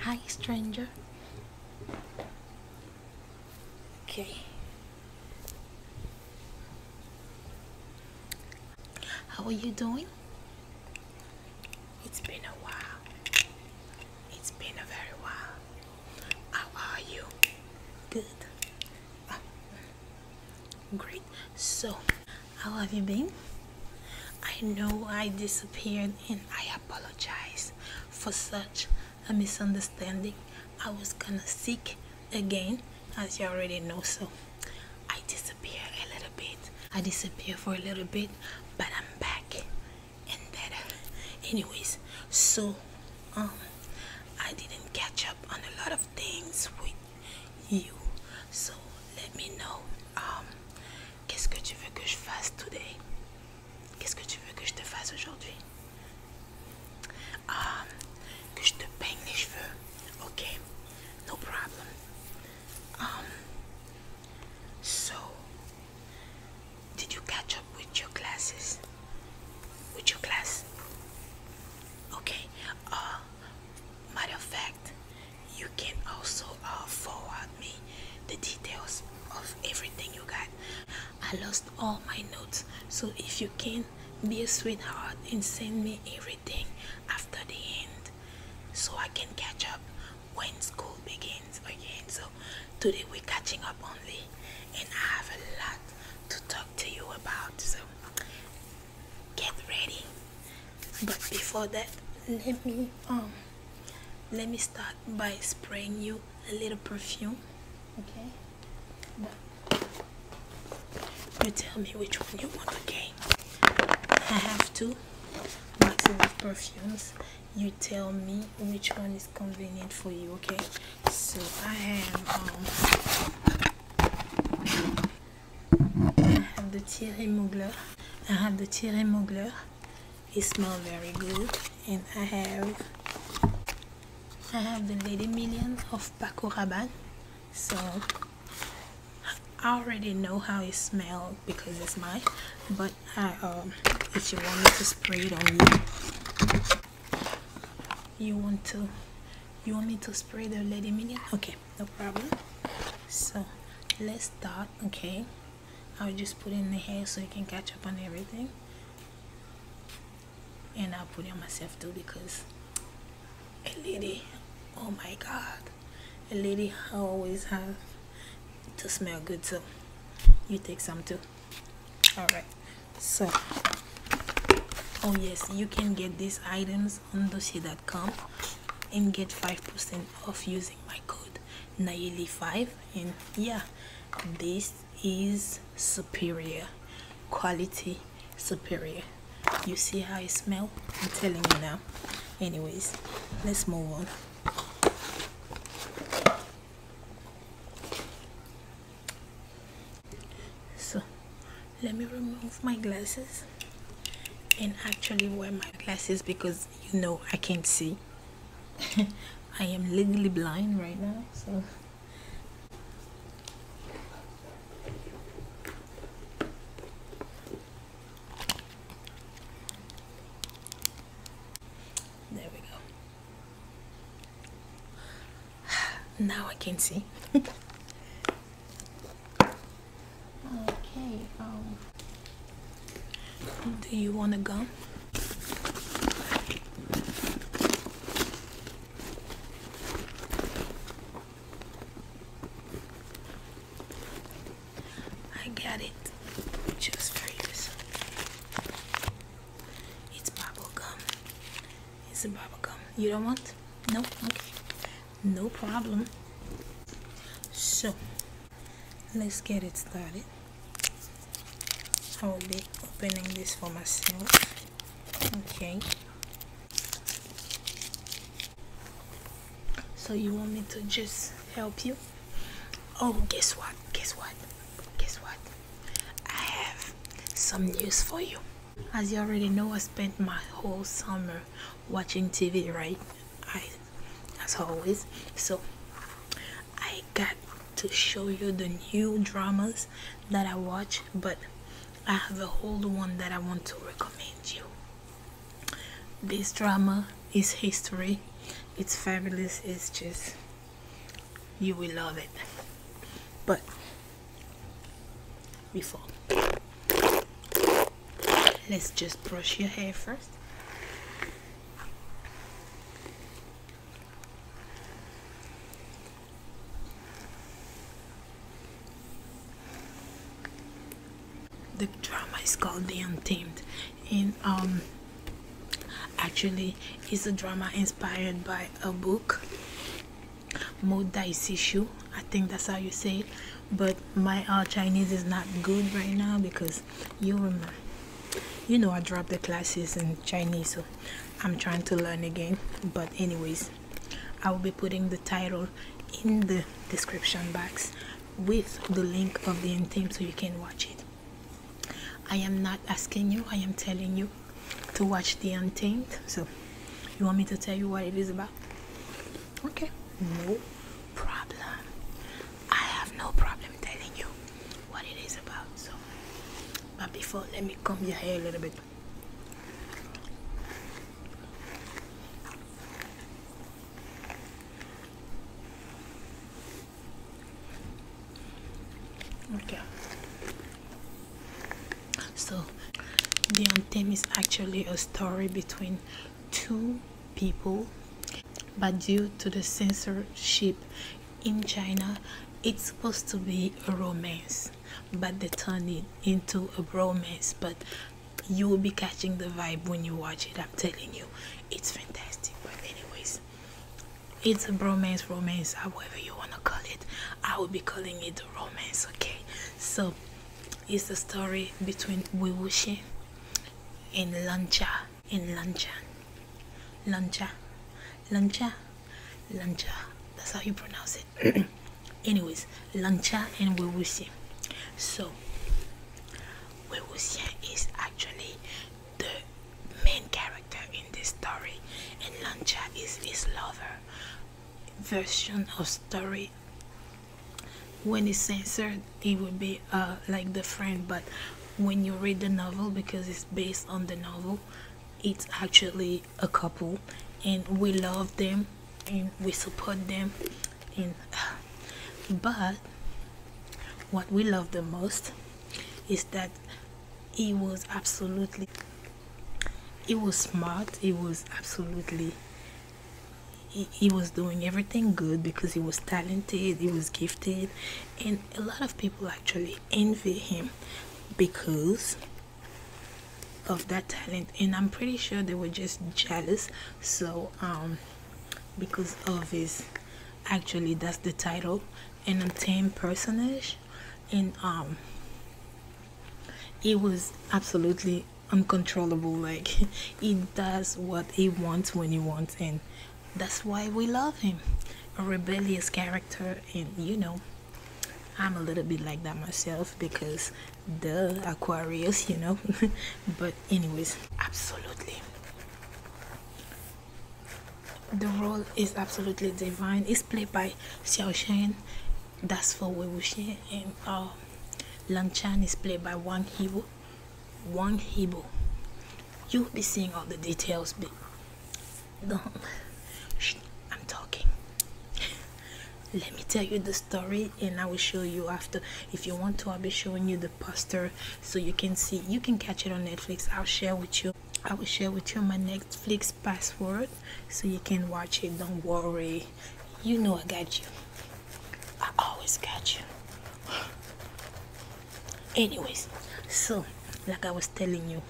Hi, stranger. Okay. How are you doing? It's been a while. It's been a very while. How are you? Good. Uh, great so how have you been i know i disappeared and i apologize for such a misunderstanding i was gonna seek again as you already know so i disappeared a little bit i disappeared for a little bit but i'm back and better anyways so um i didn't catch up on a lot of things with you so let me know um, qu'est-ce que tu veux que je today qu'est-ce que tu veux que je te um, que je te ok no problem um, so did you catch up with your classes with your class okay uh Matter of fact, you can also uh, forward me the details of everything you got. I lost all my notes, so if you can be a sweetheart and send me everything after the end so I can catch up when school begins again. So today we're catching up only, and I have a lot to talk to you about. So get ready but before that let me um let me start by spraying you a little perfume okay you tell me which one you want okay i have two boxes of perfumes you tell me which one is convenient for you okay so i have um I have the Thierry Mugler. I have the Thierry Mugler. It smells very good. And I have I have the Lady Million of Paco Rabanne. So I already know how it smells because it's mine. But I, um, if you want me to spray it on you, you want to you want me to spray the lady minion okay no problem so let's start okay I'll just put in the hair so you can catch up on everything and I'll put it on myself too because a lady oh my god a lady always has to smell good so you take some too all right so oh yes you can get these items is and get 5% off using my code Nayeli5 and yeah this is superior quality superior you see how it smell I'm telling you now anyways let's move on so let me remove my glasses and actually wear my glasses because you know I can't see I am legally blind right now so there we go now I can see. okay. Um. Do you want a gum? I got it just for you. It's bubble gum. It's a bubble gum. You don't want? No? Okay. No problem. So, let's get it started. I will be opening this for myself. Okay. So you want me to just help you? Oh, guess what? Guess what? Guess what? I have some news for you. As you already know, I spent my whole summer watching TV, right? I, as always. So I got to show you the new dramas that I watch, but I have a whole one that I want to recommend you. This drama is history. It's fabulous. It's just you will love it. But before. Let's just brush your hair first. The drama is called The Untamed and um actually it's a drama inspired by a book Modaisishu. I think that's how you say it. But my uh, Chinese is not good right now because you remember, you know, I dropped the classes in Chinese, so I'm trying to learn again. But anyways, I will be putting the title in the description box with the link of the end so you can watch it. I am not asking you, I am telling you to watch the untamed so you want me to tell you what it is about okay no problem i have no problem telling you what it is about so but before let me comb your hair a little bit Okay. So, the theme is actually a story between two people, but due to the censorship in China, it's supposed to be a romance, but they turn it into a bromance. But you will be catching the vibe when you watch it. I'm telling you, it's fantastic. But anyways, it's a bromance, romance, however you wanna call it. I will be calling it romance okay so it's a story between Wiwushi and Lanja and Lanja Lanja Lanja Lanja that's how you pronounce it anyways Lanja and Wiwushi so Wiwushi is actually the main character in this story and Lanja is his lover version of story when it's censored it would be uh, like the friend. but when you read the novel because it's based on the novel it's actually a couple and we love them and we support them and but what we love the most is that he was absolutely he was smart He was absolutely he, was doing everything good because he was talented he was gifted and a lot of people actually envy him because of that talent and i'm pretty sure they were just jealous so um because of his actually that's the title an untamed personage and um, it was absolutely uncontrollable like he does what he wants when he wants and that's why we love him a rebellious character and you know i'm a little bit like that myself because the aquarius you know but anyways absolutely the role is absolutely divine it's played by xiao shen that's for we Wewushi and uh, Lanchan is played by Wang Hebo, Wang Hebo. You'll be seeing all the details, but don't. I'm talking. Let me tell you the story and I will show you after. If you want to, I'll be showing you the poster so you can see. You can catch it on Netflix. I'll share with you. I will share with you my Netflix password so you can watch it. Don't worry. You know I got you. I always got you. Anyways, so like I was telling you,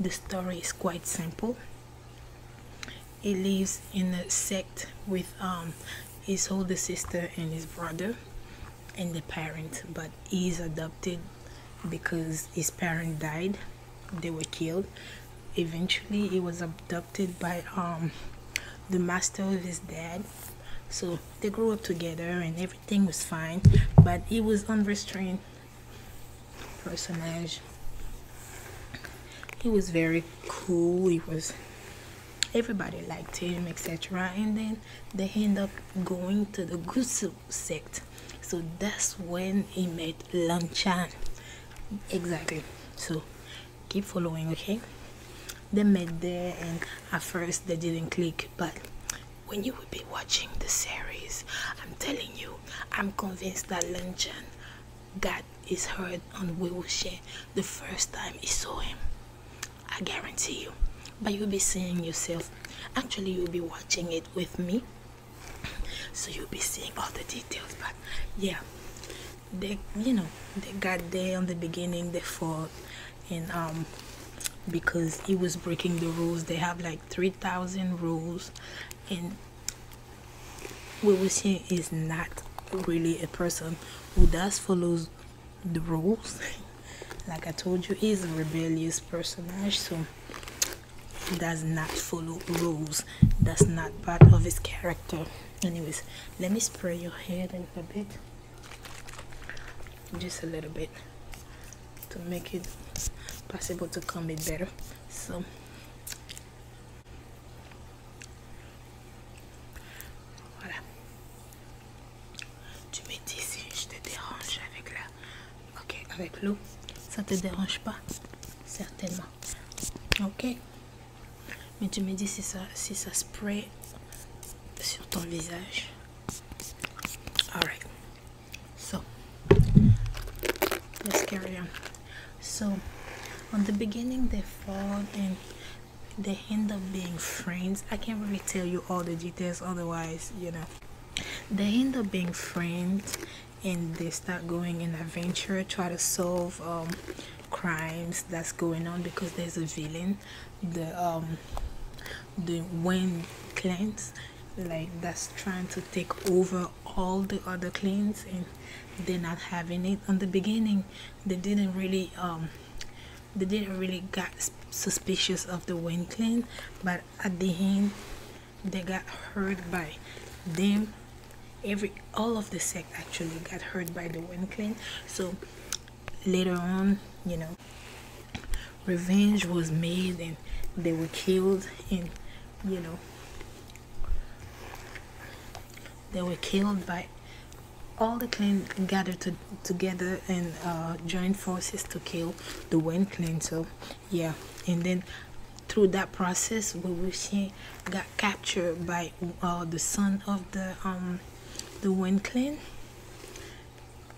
the story is quite simple. He lives in a sect with um, his older sister and his brother and the parent, but he's adopted because his parent died they were killed eventually he was adopted by um the master of his dad so they grew up together and everything was fine but he was unrestrained personage he was very cool he was everybody liked him etc and then they end up going to the gusu sect so that's when he met Lanchan exactly so keep following okay they met there and at first they didn't click but when you will be watching the series I'm telling you I'm convinced that Lanchan got his heard on wheelchair the first time he saw him I guarantee you but you'll be seeing yourself actually you'll be watching it with me so you'll be seeing all the details but yeah they you know they got there on the beginning they fought and um because he was breaking the rules they have like 3000 rules and what we're seeing is not really a person who does follows the rules like i told you he's a rebellious personage so does not follow rules that's not part of his character anyways let me spray your hair a little bit just a little bit to make it possible to comb it better so voilà tu me dis si je te dérange avec la ok avec l'eau ça te dérange pas certainement ok mais tu me dis si ça si ça spray sur ton visage alright so let's carry on so on the beginning they fall and they end up being friends i can't really tell you all the details otherwise you know they end up being friends and they start going in adventure try to solve um, crimes that's going on because there's a villain the um, the wind clans like that's trying to take over all the other clans and they're not having it on the beginning they didn't really um they didn't really got suspicious of the wind clan but at the end they got hurt by them every all of the sect actually got hurt by the wind clan so later on you know revenge was made and they were killed and you know they were killed by all the clan gathered to, together and uh, joined forces to kill the Wen clan so yeah and then through that process Wuxi got captured by uh, the son of the um the wind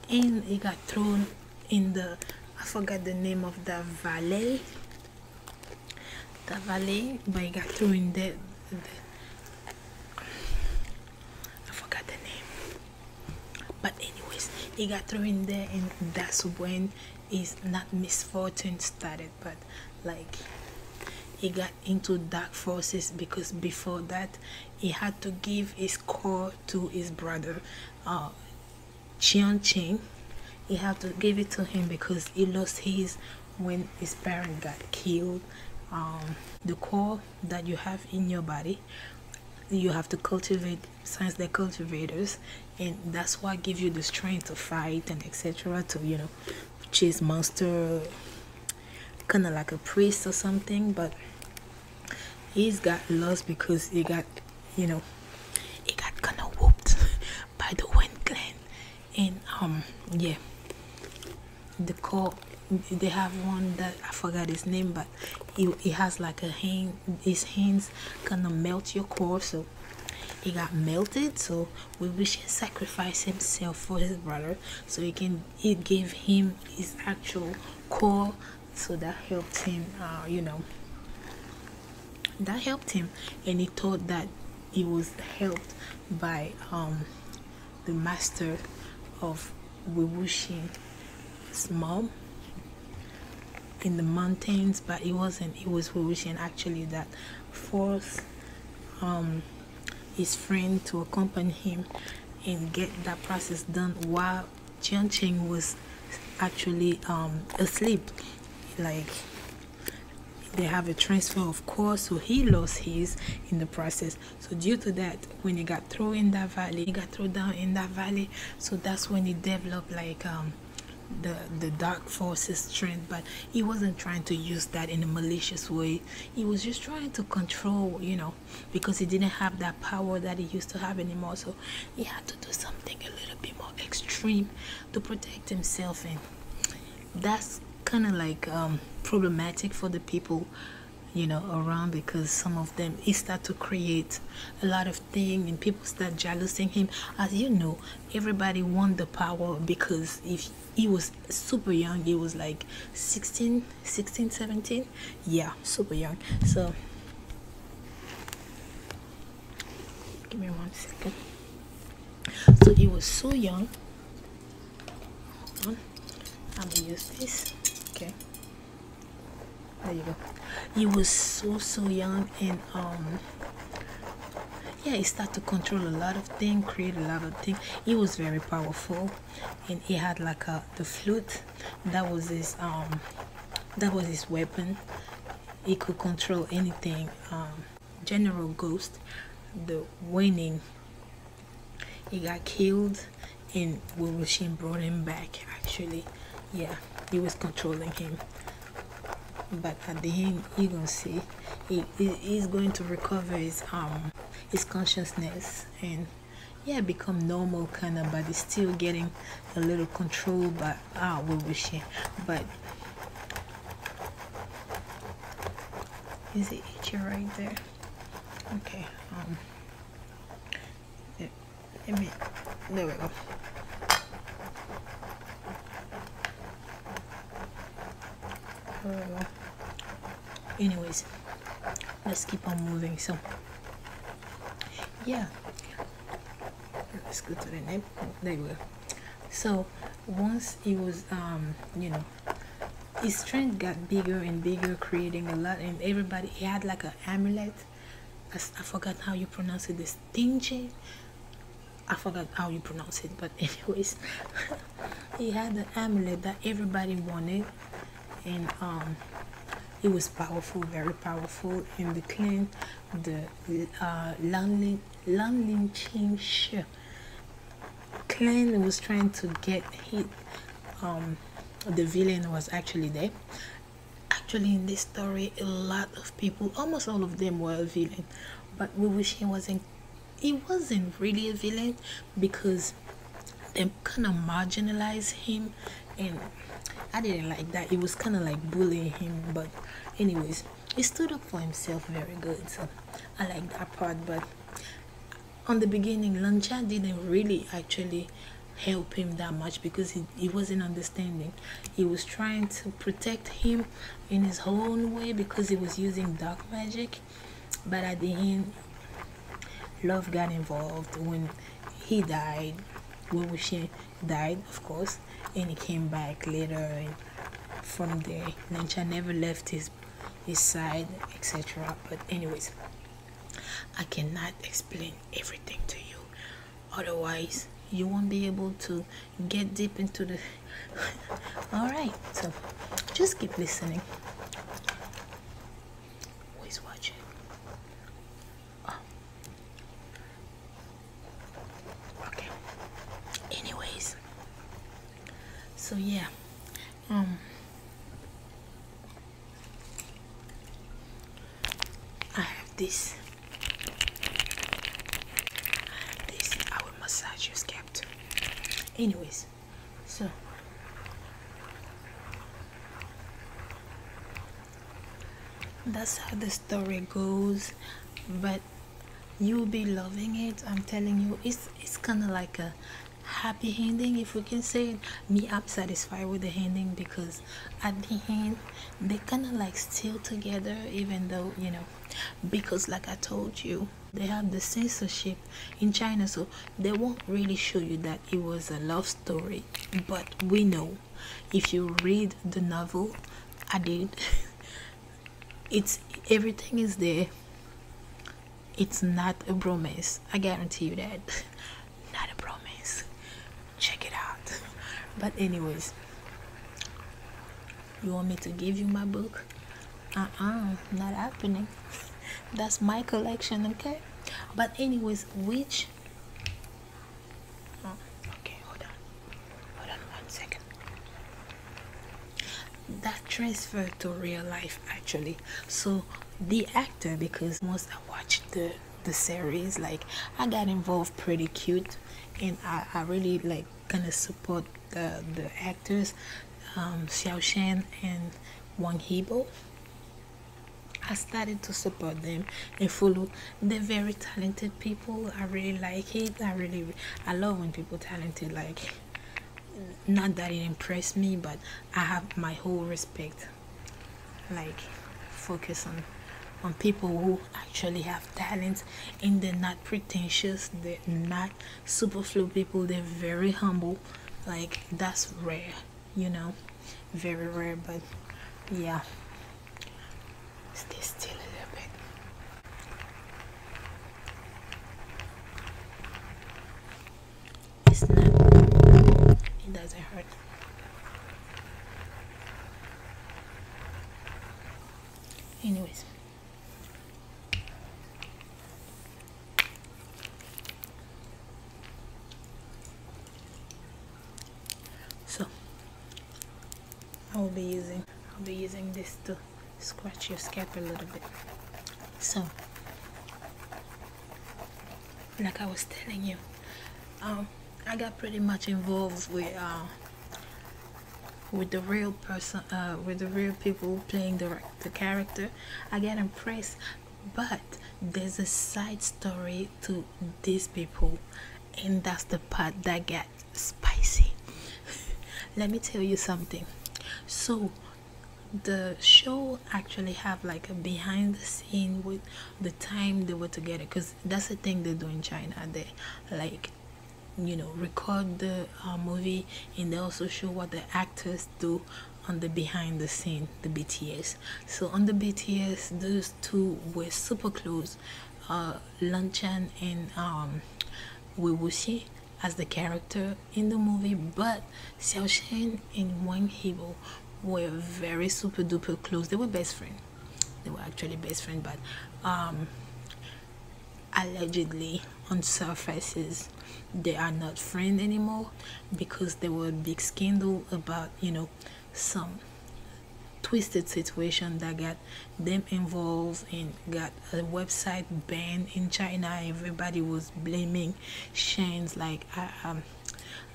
and he got thrown in the I forget the name of the valley the valley but he got thrown in the, I forgot the name but anyways he got thrown in there and that's when is not misfortune started but like he got into dark forces because before that he had to give his core to his brother uh Chiang Ching he had to give it to him because he lost his when his parent got killed um, the core that you have in your body you have to cultivate since they're cultivators and that's what gives you the strength to fight and etc to you know chase monster kind of like a priest or something but he's got lost because he got you know he got kind of whooped by the wind clan and um yeah the core they have one that i forgot his name but he it has like a hand his hands kind of melt your core so he got melted so we wish he sacrificed himself for his brother so he can he gave him his actual core so that helped him uh, you know that helped him and he thought that he was helped by um, the master of Wibushi's mom in the mountains but it wasn't it was Horushian actually that forced um, his friend to accompany him and get that process done while Jian Cheng was actually um, asleep like they have a transfer of course so he lost his in the process so due to that when he got thrown in that valley he got thrown down in that valley so that's when he developed like um, the the dark forces strength but he wasn't trying to use that in a malicious way he was just trying to control you know because he didn't have that power that he used to have anymore so he had to do something a little bit more extreme to protect himself and that's kind of like um, problematic for the people you know around because some of them he start to create a lot of things and people people start jealousing him as you know everybody want the power because if he was super young he was like 16 16 17 yeah super young so give me one second so he was so young i'm gonna use this okay there you go. You were so so young and um yeah, he started to control a lot of things, create a lot of things. He was very powerful and he had like a the flute that was his um that was his weapon. He could control anything. Um, General Ghost, the winning he got killed and Wilbur Sheen brought him back actually. Yeah, he was controlling him but at the end you're gonna see he, he, he's going to recover his um his consciousness and yeah become normal kind of but he's still getting a little control but ah we wish him but is it itchy right there okay um, I there we go. Anyways, let's keep on moving. So, yeah, let's to the name. There we go. So, once it was, um, you know, his strength got bigger and bigger, creating a lot, and everybody he had like an amulet I, forgot how you pronounce it. This dingy. I forgot how you pronounce it, but anyways, he had an amulet that everybody wanted, and um, it was powerful, very powerful. And the clan, the landling, uh, Lanlin Lan Qingshi clan was trying to get hit. Um, the villain was actually there, actually in this story a lot of people almost all of them were a villain but we wish he wasn't he wasn't really a villain because they kind of marginalized him and i didn't like that it was kind of like bullying him but anyways he stood up for himself very good so i like that part but on the beginning lancha didn't really actually help him that much because he, he wasn't understanding he was trying to protect him in his own way because he was using dark magic but at the end love got involved when he died when Wuxi died of course and he came back later from there Nancha never left his his side etc but anyways I cannot explain everything to you otherwise you won't be able to get deep into the all right so just keep listening Always watching oh. okay anyways so yeah um i have this this I will massage your scalp Anyways, so that's how the story goes, but you'll be loving it. I'm telling you, it's it's kind of like a happy ending if we can say it. Me, I'm satisfied with the ending because at the end they kind of like still together even though you know because like i told you they have the censorship in china so they won't really show you that it was a love story but we know if you read the novel i did it's everything is there it's not a promise. i guarantee you that not a promise check it out but anyways you want me to give you my book uh-uh not happening that's my collection okay but anyways which uh, okay hold on hold on one second that transferred to real life actually so the actor because most i watched the the series like i got involved pretty cute and i, I really like gonna support the, the actors um, xiao shan and wang hebo i started to support them and follow they're very talented people i really like it i really i love when people talented like not that it impressed me but i have my whole respect like focus on on people who actually have talents and they're not pretentious they're not superfluous people they're very humble like that's rare you know very rare but yeah stay still a little bit it doesn't hurt Anyways. So I will be using I'll be using this to scratch your scalp a little bit. So like I was telling you, um, I got pretty much involved with uh, with the real person, uh, with the real people playing the the character. I got impressed, but there's a side story to these people, and that's the part that gets spicy. Let me tell you something. So the show actually have like a behind the scene with the time they were together because that's the thing they do in china they like you know record the uh, movie and they also show what the actors do on the behind the scene the bts so on the bts those two were super close uh chan and um wei wuxi as the character in the movie but xiao shen and wang hebo were very super duper close they were best friends they were actually best friends but um, allegedly on surfaces they are not friends anymore because there was a big scandal about you know some twisted situation that got them involved and got a website banned in China everybody was blaming Shane's like um,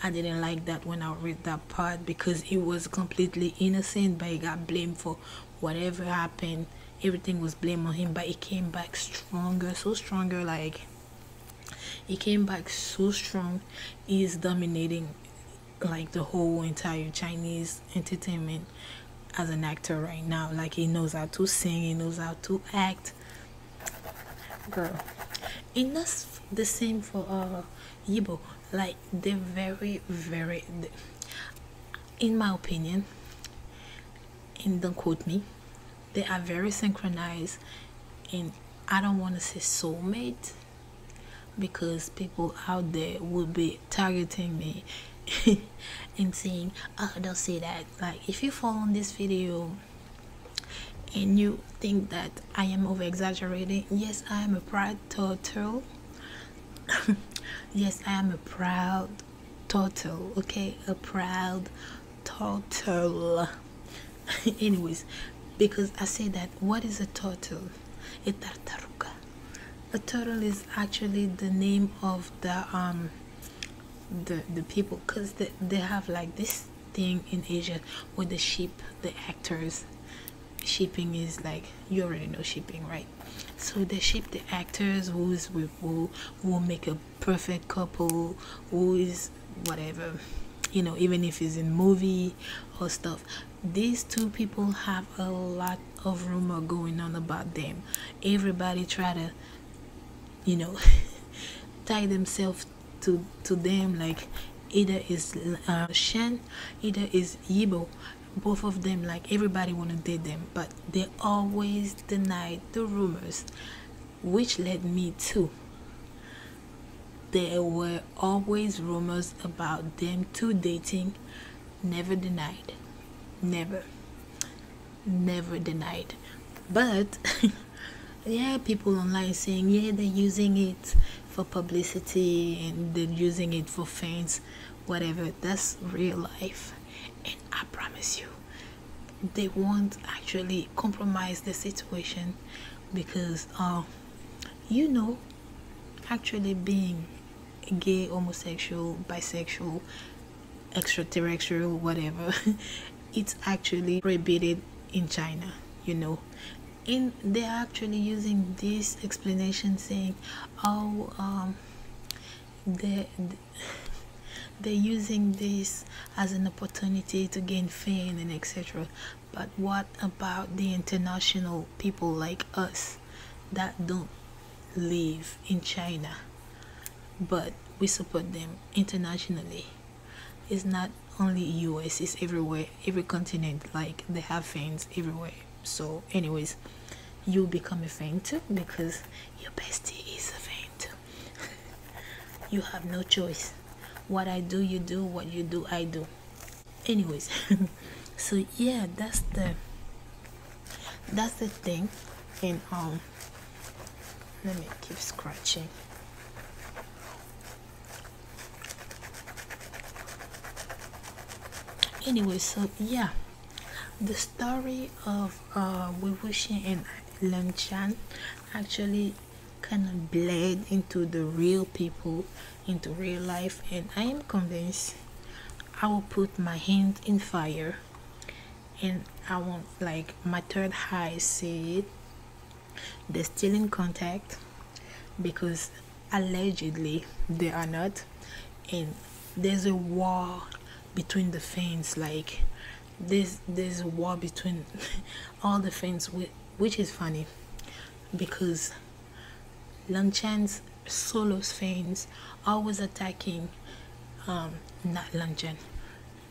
I didn't like that when I read that part because he was completely innocent but he got blamed for whatever happened everything was blamed on him but he came back stronger so stronger like he came back so strong he's dominating like the whole entire chinese entertainment as an actor right now like he knows how to sing he knows how to act girl and that's the same for all. Uh, Yibo, like they're very, very. in my opinion, and don't quote me, they are very synchronized, and I don't want to say soulmate because people out there will be targeting me and saying, "Oh, don't say that." Like, if you follow this video and you think that I am overexaggerating, yes, I am a proud turtle yes i am a proud turtle okay a proud turtle anyways because i say that what is a turtle a tartaruga a turtle is actually the name of the um the the people because they, they have like this thing in asia with the sheep the actors shipping is like you already know shipping right so they ship the actors who's with who will make a perfect couple who is whatever you know even if he's in movie or stuff these two people have a lot of rumor going on about them everybody try to you know tie themselves to to them like either is uh, Shen, either is Yibo. Both of them, like everybody wanna date them, but they always denied the rumors, which led me to. There were always rumors about them two dating, never denied, never, never denied. But yeah, people online saying yeah they're using it for publicity and then using it for fans, whatever. That's real life. And I promise you, they won't actually compromise the situation because, um, you know, actually being gay, homosexual, bisexual, extraterrestrial, whatever, it's actually prohibited in China, you know in they're actually using this explanation saying oh um, they they're using this as an opportunity to gain fame and etc but what about the international people like us that don't live in china but we support them internationally it's not only us it's everywhere every continent like they have fans everywhere so anyways you become a fan too because your bestie is a fan too you have no choice what i do you do what you do i do anyways so yeah that's the that's the thing and um let me keep scratching anyway so yeah the story of uh Wewushin and Lemchan actually kind of bled into the real people into real life and I am convinced I will put my hand in fire and I want like my third eye see it they're still in contact because allegedly they are not and there's a war between the fans like there's, there's a war between all the fans which is funny because Lanchan's solo fans always attacking um not Lanchan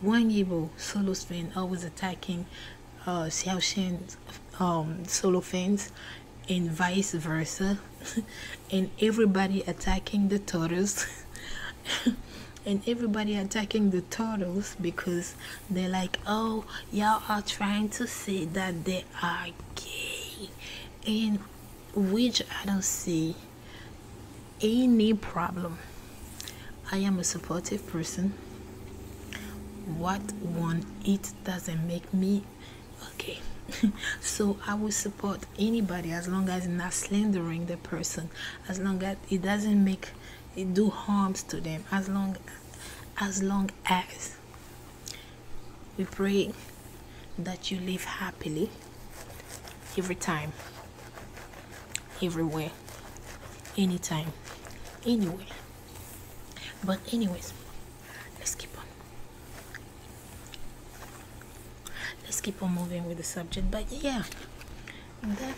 one Yibo solo fan always attacking uh, Xiaoxian um, solo fans and vice versa and everybody attacking the turtles and everybody attacking the turtles because they're like oh y'all are trying to say that they are gay and which i don't see any problem i am a supportive person what one each doesn't make me okay so i will support anybody as long as not slandering the person as long as it doesn't make it do harms to them as long as long as we pray that you live happily every time everywhere anytime anywhere but anyways, let's keep on. Let's keep on moving with the subject. But yeah, that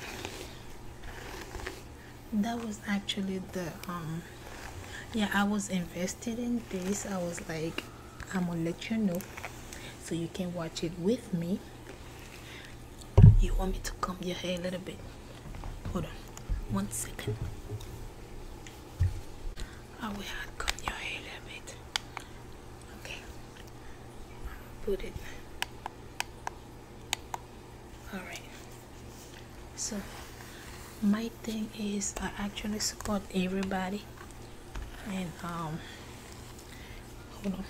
that was actually the um yeah i was invested in this i was like i'm gonna let you know so you can watch it with me you want me to comb your hair a little bit Hold on, one second. I ah, will cut your hair a little bit. Okay, put it. Alright, so my thing is I actually support everybody and um hold on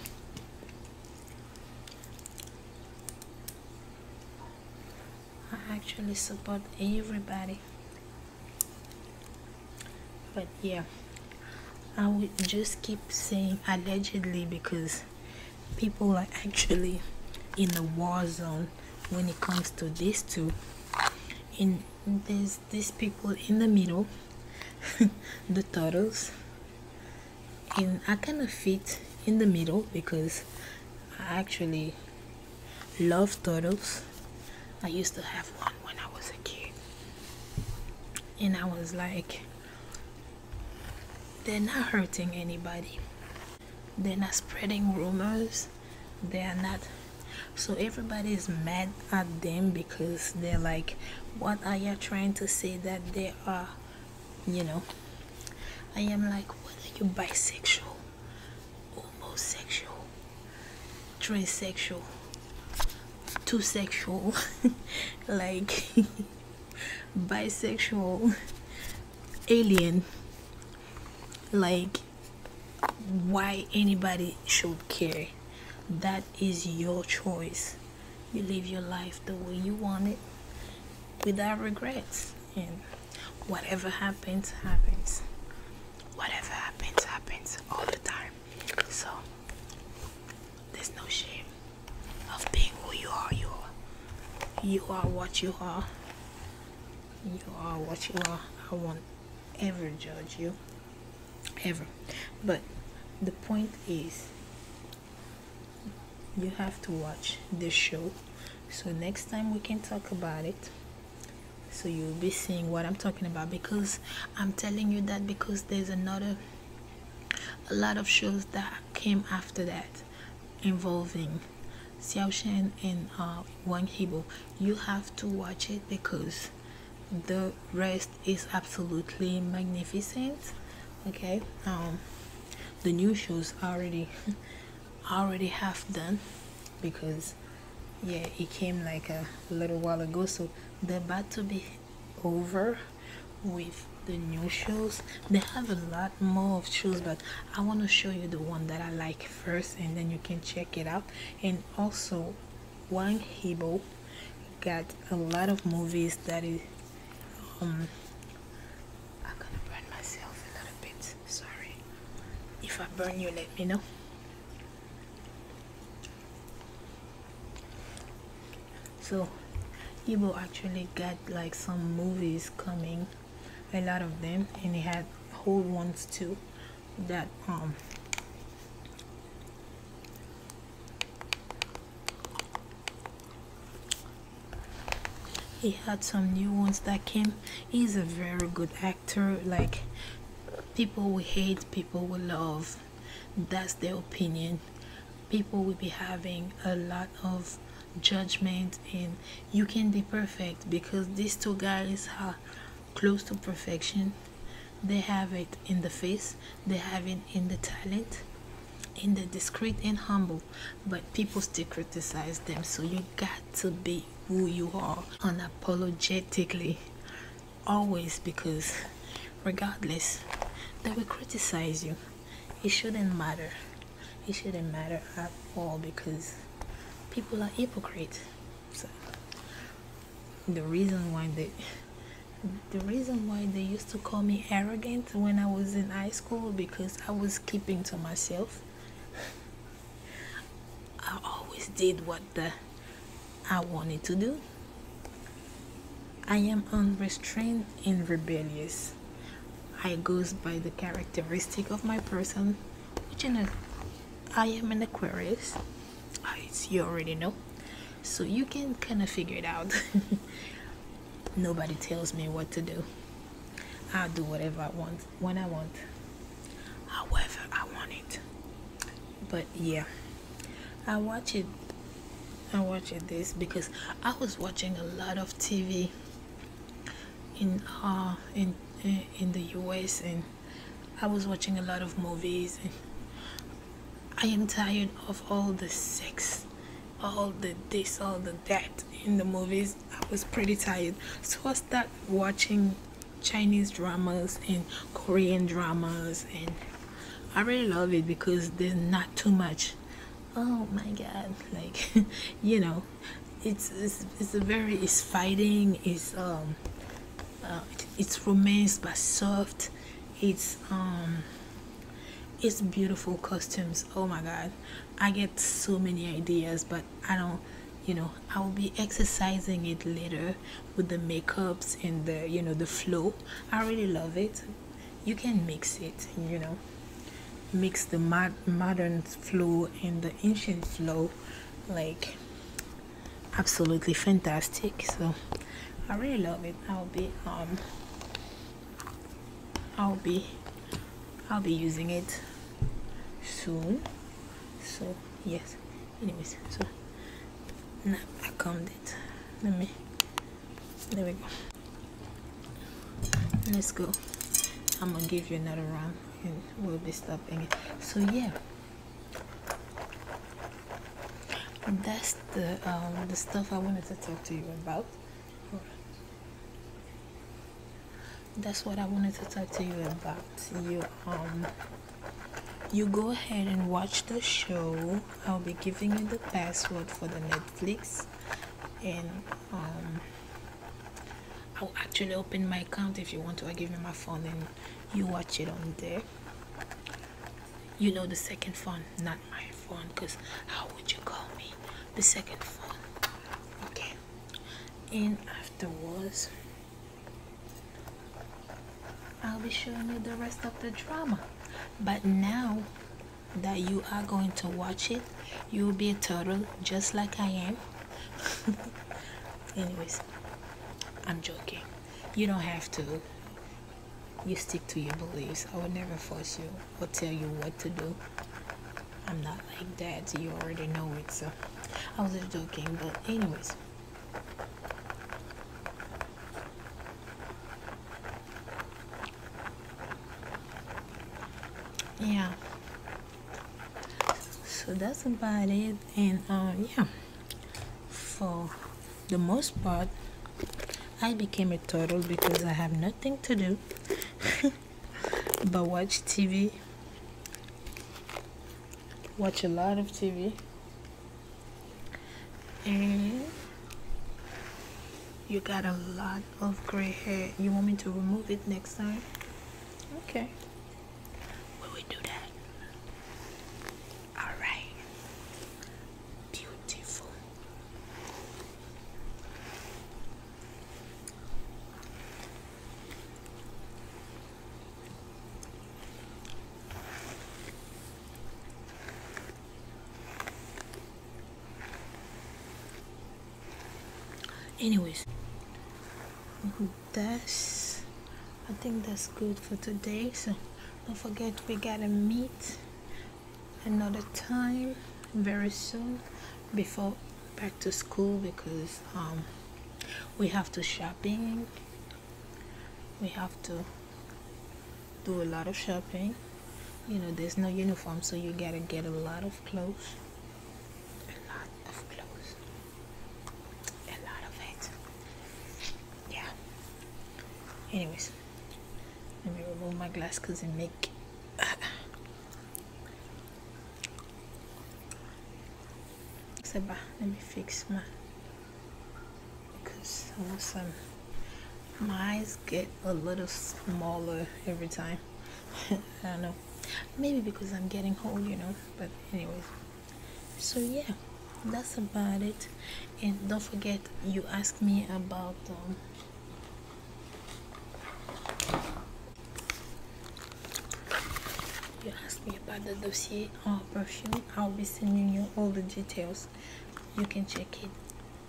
I actually support everybody but yeah I would just keep saying allegedly because people are actually in the war zone when it comes to these two In there's these people in the middle the turtles and I kind of fit in the middle because I actually love turtles. I used to have one when I was a kid. And I was like, they're not hurting anybody. They're not spreading rumors. They are not. So everybody is mad at them because they're like, what are you trying to say that they are you know i am like whether you're bisexual homosexual transsexual two sexual like bisexual alien like why anybody should care that is your choice you live your life the way you want it without regrets and whatever happens happens whatever happens happens all the time so there's no shame of being who you are you are you are what you are you are what you are i won't ever judge you ever but the point is you have to watch this show so next time we can talk about it so you'll be seeing what i'm talking about because i'm telling you that because there's another a lot of shows that came after that involving Xiao Shen and uh, Wang Hebo. You have to watch it because the rest is absolutely magnificent. Okay, um, the new shows already already half done because yeah it came like a little while ago so they're about to be over with the new shoes they have a lot more of shoes but i want to show you the one that i like first and then you can check it out and also One hebo got a lot of movies that is um, I'm gonna burn myself a little bit. Sorry. If I burn you, let me know. So, he will actually get like some movies coming, a lot of them, and he had whole ones too that um he had some new ones that came he's a very good actor like people will hate people will love that's their opinion people will be having a lot of judgment and you can be perfect because these two guys are close to perfection they have it in the face they have it in the talent in the discreet and humble but people still criticize them so you got to be who you are unapologetically always because regardless they will criticize you it shouldn't matter it shouldn't matter at all because people are hypocrites the reason why they the reason why they used to call me arrogant when I was in high school school because I was keeping to myself. I always did what I wanted to do. I am unrestrained and rebellious. I goes by the characteristic of my person, which in I am an Aquarius, you already know. So you can kind of figure it out. Nobody tells me what to do. I'll do whatever I want when I want, however I want it. But yeah, I watch it. I watch it this because I was watching a lot of TV in uh in in the U.S. and I was watching a lot of movies and I am tired of all the sex all the this all the that in the movies i was pretty tired so i start watching chinese dramas and korean dramas and i really love it because there's not too much oh my god like you know it's it's, it's very it's fighting it's um uh, it's romance but soft it's um it's beautiful costumes oh my god I get so many ideas, but I don't, you know, I will be exercising it later with the makeups and the, you know, the flow. I really love it. You can mix it, you know, mix the mod modern flow and the ancient flow, like absolutely fantastic. So I really love it. I'll be um I'll be I'll be using it soon so yes anyways so now I combed it let me there we go let's go I'm gonna give you another round we'll be stopping so yeah that's the um, the stuff I wanted to talk to you about that's what I wanted to talk to you about. You um, you go ahead and watch the show. I'll be giving you the password for the Netflix and um, I'll actually open my account if you want to. I give you my phone and you watch it on there. You know the second phone, not mine phone because how would you call me the second phone okay and afterwards I'll be showing you the rest of the drama but now that you are going to watch it you'll be a turtle just like I am anyways I'm joking you don't have to you stick to your beliefs I will never force you Will tell you what to do. I'm not like that. You already know it. So I was joking. But anyways. Yeah. So that's about it. And uh, yeah. For the most part, I became a turtle because I have nothing to do. but watch TV. Watch a lot of TV. And you got a lot of gray hair. You want me to remove it next time? Okay. Will we do that? Alright. Beautiful anyways that's I think that's good for today so don't forget we got to meet another time very soon before back to school because um, we have to shopping we have to do a lot of shopping you know there's no uniform so you gotta get a lot of clothes a lot of clothes a lot of it yeah anyways let me remove my glass because it make Seba, let me fix my because awesome. my eyes get a little smaller every time. I don't know. Maybe because I'm getting old, you know. But anyways. So yeah, that's about it. And don't forget you asked me about um, you asked me about the dossier or perfume. I'll be sending you all the details. You can check it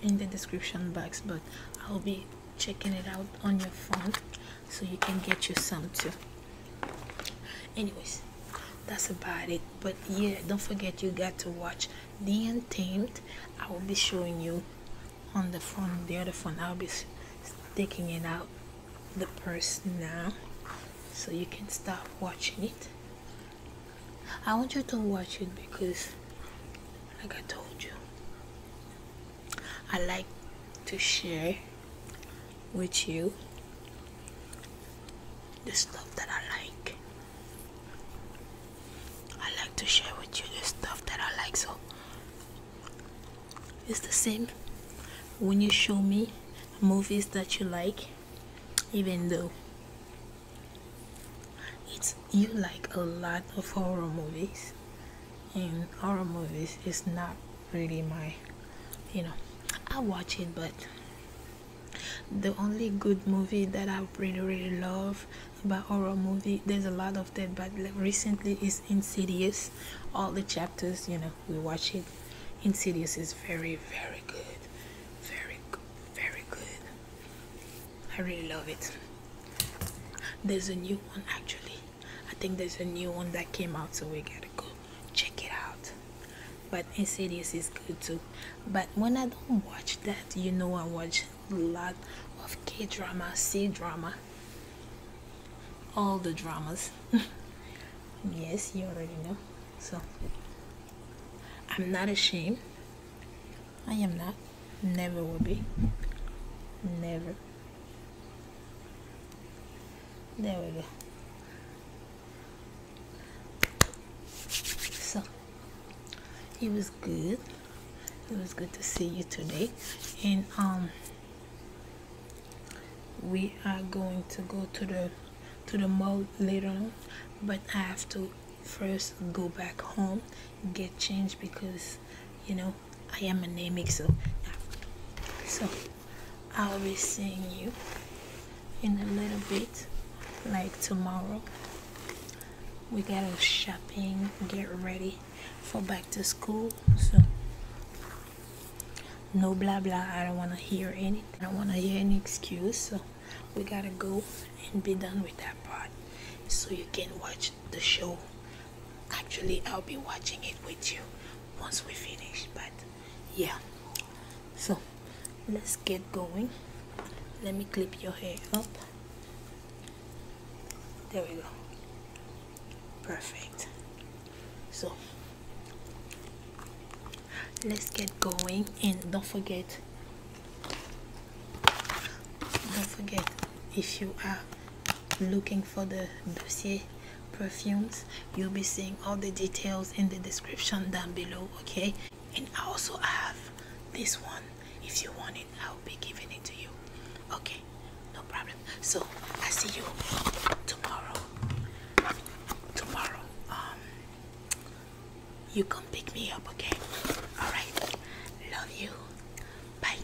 in the description box, but I'll be checking it out on your phone so you can get your some too. Anyways, that's about it. But yeah, don't forget you got to watch The Untamed. I will be showing you on the phone the other phone I'll be taking it out the purse now so you can start watching it I want you to watch it because like I told you I like to share with you the stuff that I like I like to share with you the stuff that I like so it's the same when you show me movies that you like even though it's you like a lot of horror movies and horror movies is not really my you know I watch it but the only good movie that I really really love but horror movie there's a lot of that but recently it's insidious all the chapters you know we watch it insidious is very very good very very good i really love it there's a new one actually i think there's a new one that came out so we gotta go check it out but insidious is good too but when i don't watch that you know i watch lot of K drama, C drama, all the dramas. yes, you already know. So, I'm not ashamed. I am not. Never will be. Never. There we go. So, it was good it was good to see you today and um, we are going to go to the to the mall later on but i have to first go back home get changed because you know i am a anemic so so i'll be seeing you in a little bit like tomorrow we gotta shopping get ready for back to school. So no blah blah. I don't want to hear anything. I don't want to hear any excuse. So we gotta go and be done with that part. So you can watch the show. Actually, I'll be watching it with you once we finish. But yeah. So let's get going. Let me clip your hair up there we go. Perfect. So let's get going and don't forget don't forget if you are looking for the dossier perfumes you'll be seeing all the details in the description down below okay and also I have this one if you want it, I'll be giving it to you. Okay, no problem. So I see you tomorrow. Tomorrow, um, you come pick me up. Okay. All right. Love you. Bye.